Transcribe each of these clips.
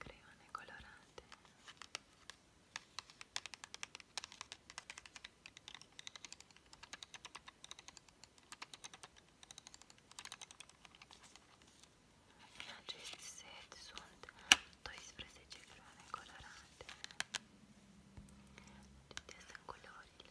creioane colorate în acest set sunt 12 creioane colorate acestea sunt culorile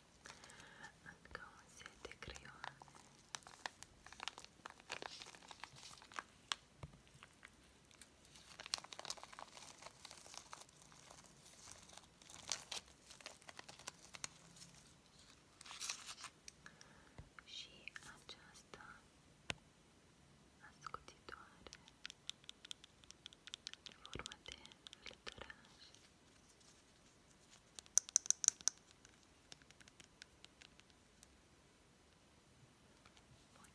Încă un set de creioane. Și aceasta ascuțitoare în urmă de lătăraș. Bun,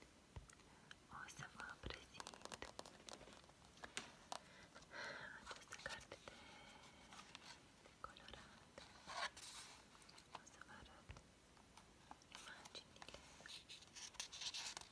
o să vă prezint această carte de, de colorată. O să vă arăt imaginile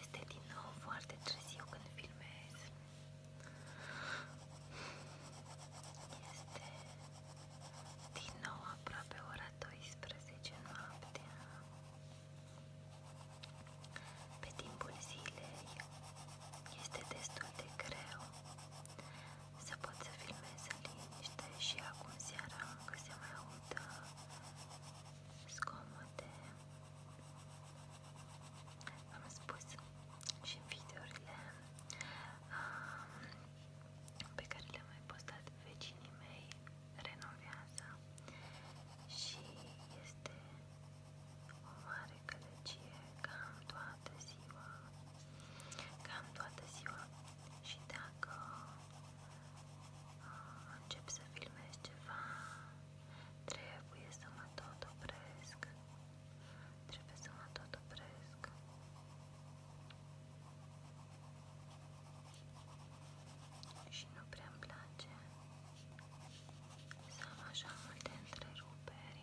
Este din nou foarte târziu când filmez. Este din nou aproape ora 12 noaptea. Pe timpul zilei este destul de greu se pot să filmeze în liniște și acum seara încă se mai aud uh, zgomote. Am spus și în videourile um, pe care le-am mai postat vecinii mei renovează și este o mare călăcie cam toată ziua cam toată ziua și dacă uh, încep să filmez ceva, trebuie să mă tot opresc, trebuie să mă tot opresc. Și nu prea îmi place să am așa multe întreruperi.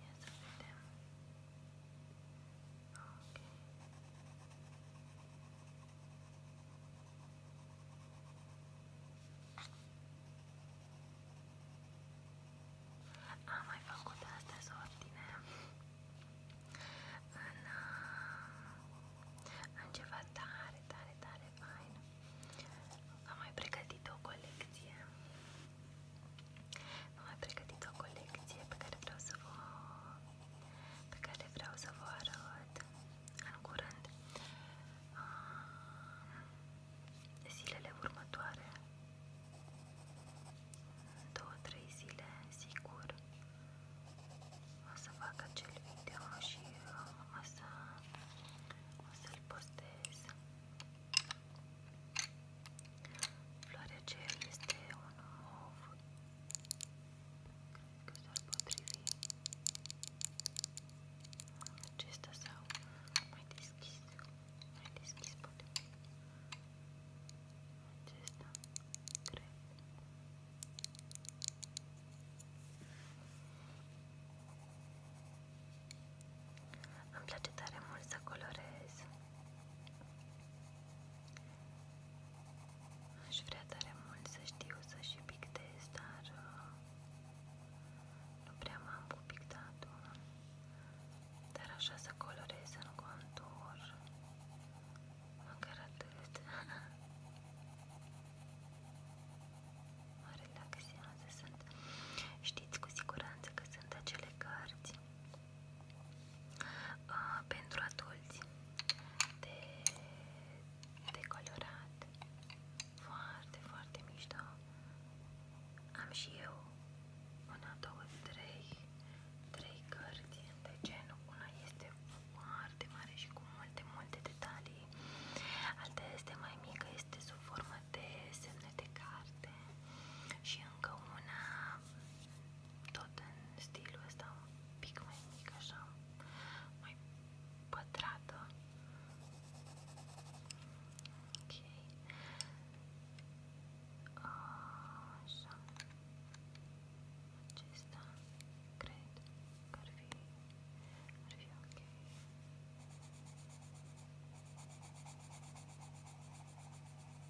Ia să vedem. Am mai făcut astăzi ordine în, în ceva tare, tare, tare fain. Am mai pregătit o colecție am mai pregătit o colecție pe care vreau să vă pe care vreau să vă arăt în curând. Zilele următoare, 2-3 zile, sigur, o să fac acel video și uh, o să, o să-l postez. Floarea aceea este un mov, cred că s-ar potrivi acesta sau mai deschis, mai deschis poate acesta, cred. Îmi place tare mult să colorez Aș vrea tare mult să știu să și pictez, dar uh, nu prea m-am cu pictatul. Dar așa să colorez în contur, măcar atât. mă relaxează, sunt. Știți cu siguranță că sunt acele cărți uh, pentru adulți de, de colorat foarte, foarte mișto am și eu una, două, trei trei cărți de genul una este foarte mare și cu multe, multe detalii alta este mai mică, este sub formă de semne de carte și încă una tot în stilul ăsta un pic mai mic, așa, mai pătrată. Ok. Așa. Acesta cred că ar fi, ar fi ok.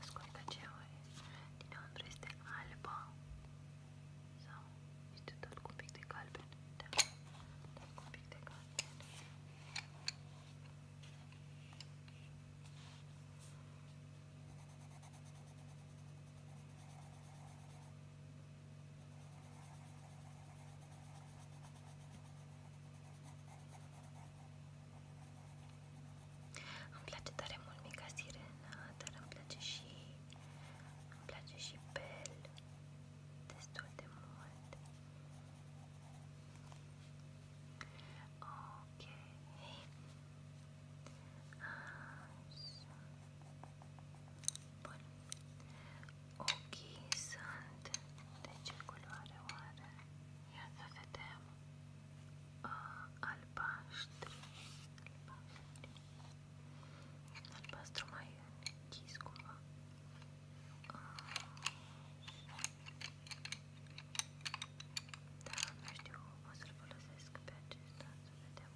Ascultă ce Dinăuntru este albă sau este tot cu un pic de galben, da, tot da, cu un pic de galben. Îmi place tare mult mica sirena, dar îmi place și, îmi place și Belle destul de mult. Okay. Deci, Așa. Bun. Ochii sunt de ce culoare oare? Ia să vedem. Uh, albaștri. Albaștri. Albastru mai închis cumva. Da, nu știu, o să-l folosesc pe acesta, să vedem.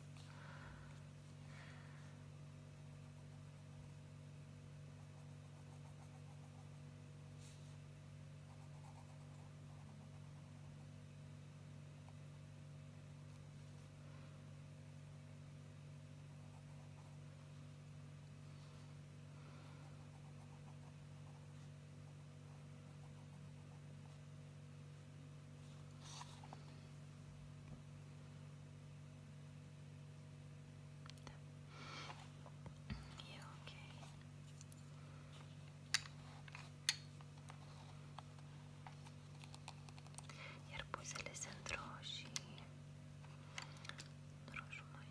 Da. E ok. Iar buzele sunt roșii. Roșu mai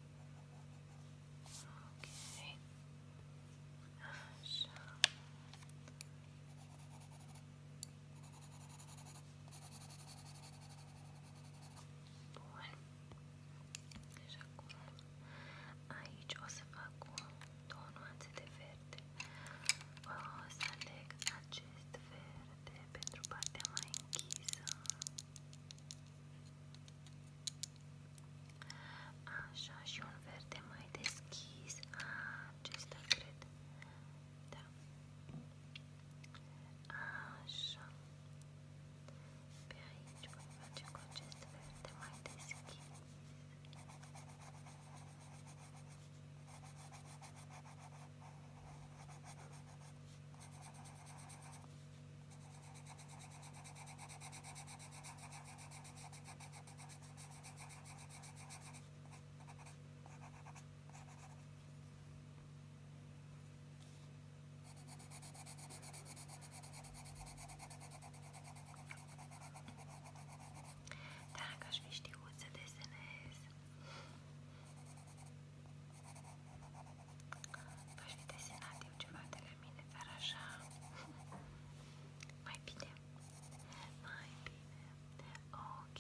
Ok. Așa. Bun. Deci acum aici o să fac cu două nuanțe de verde. O să aleg acest verde pentru partea mai închisă. Așa și un verde mai deschis. Acesta cred. Da. Așa. Pe aici voi face cu acest verde mai deschis. Dacă aș fi știut să desenez, v-aș fi desenat eu ceva de pe mine, dar așa mai bine, mai bine, ok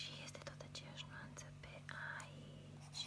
și este tot aceeași nuanță pe aici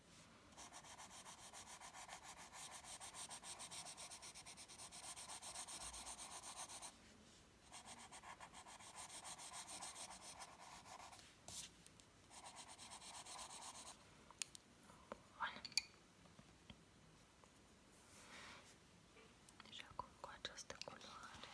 Deci acum cu această culoare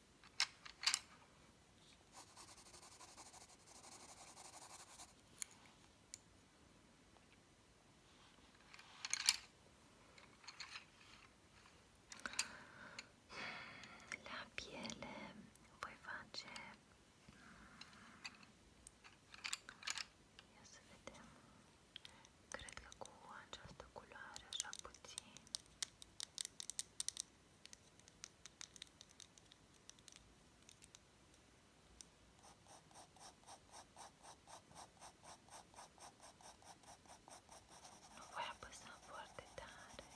La piele voi face mm, ia să vedem Cred că cu această culoare așa puțin nu voi apăsa foarte tare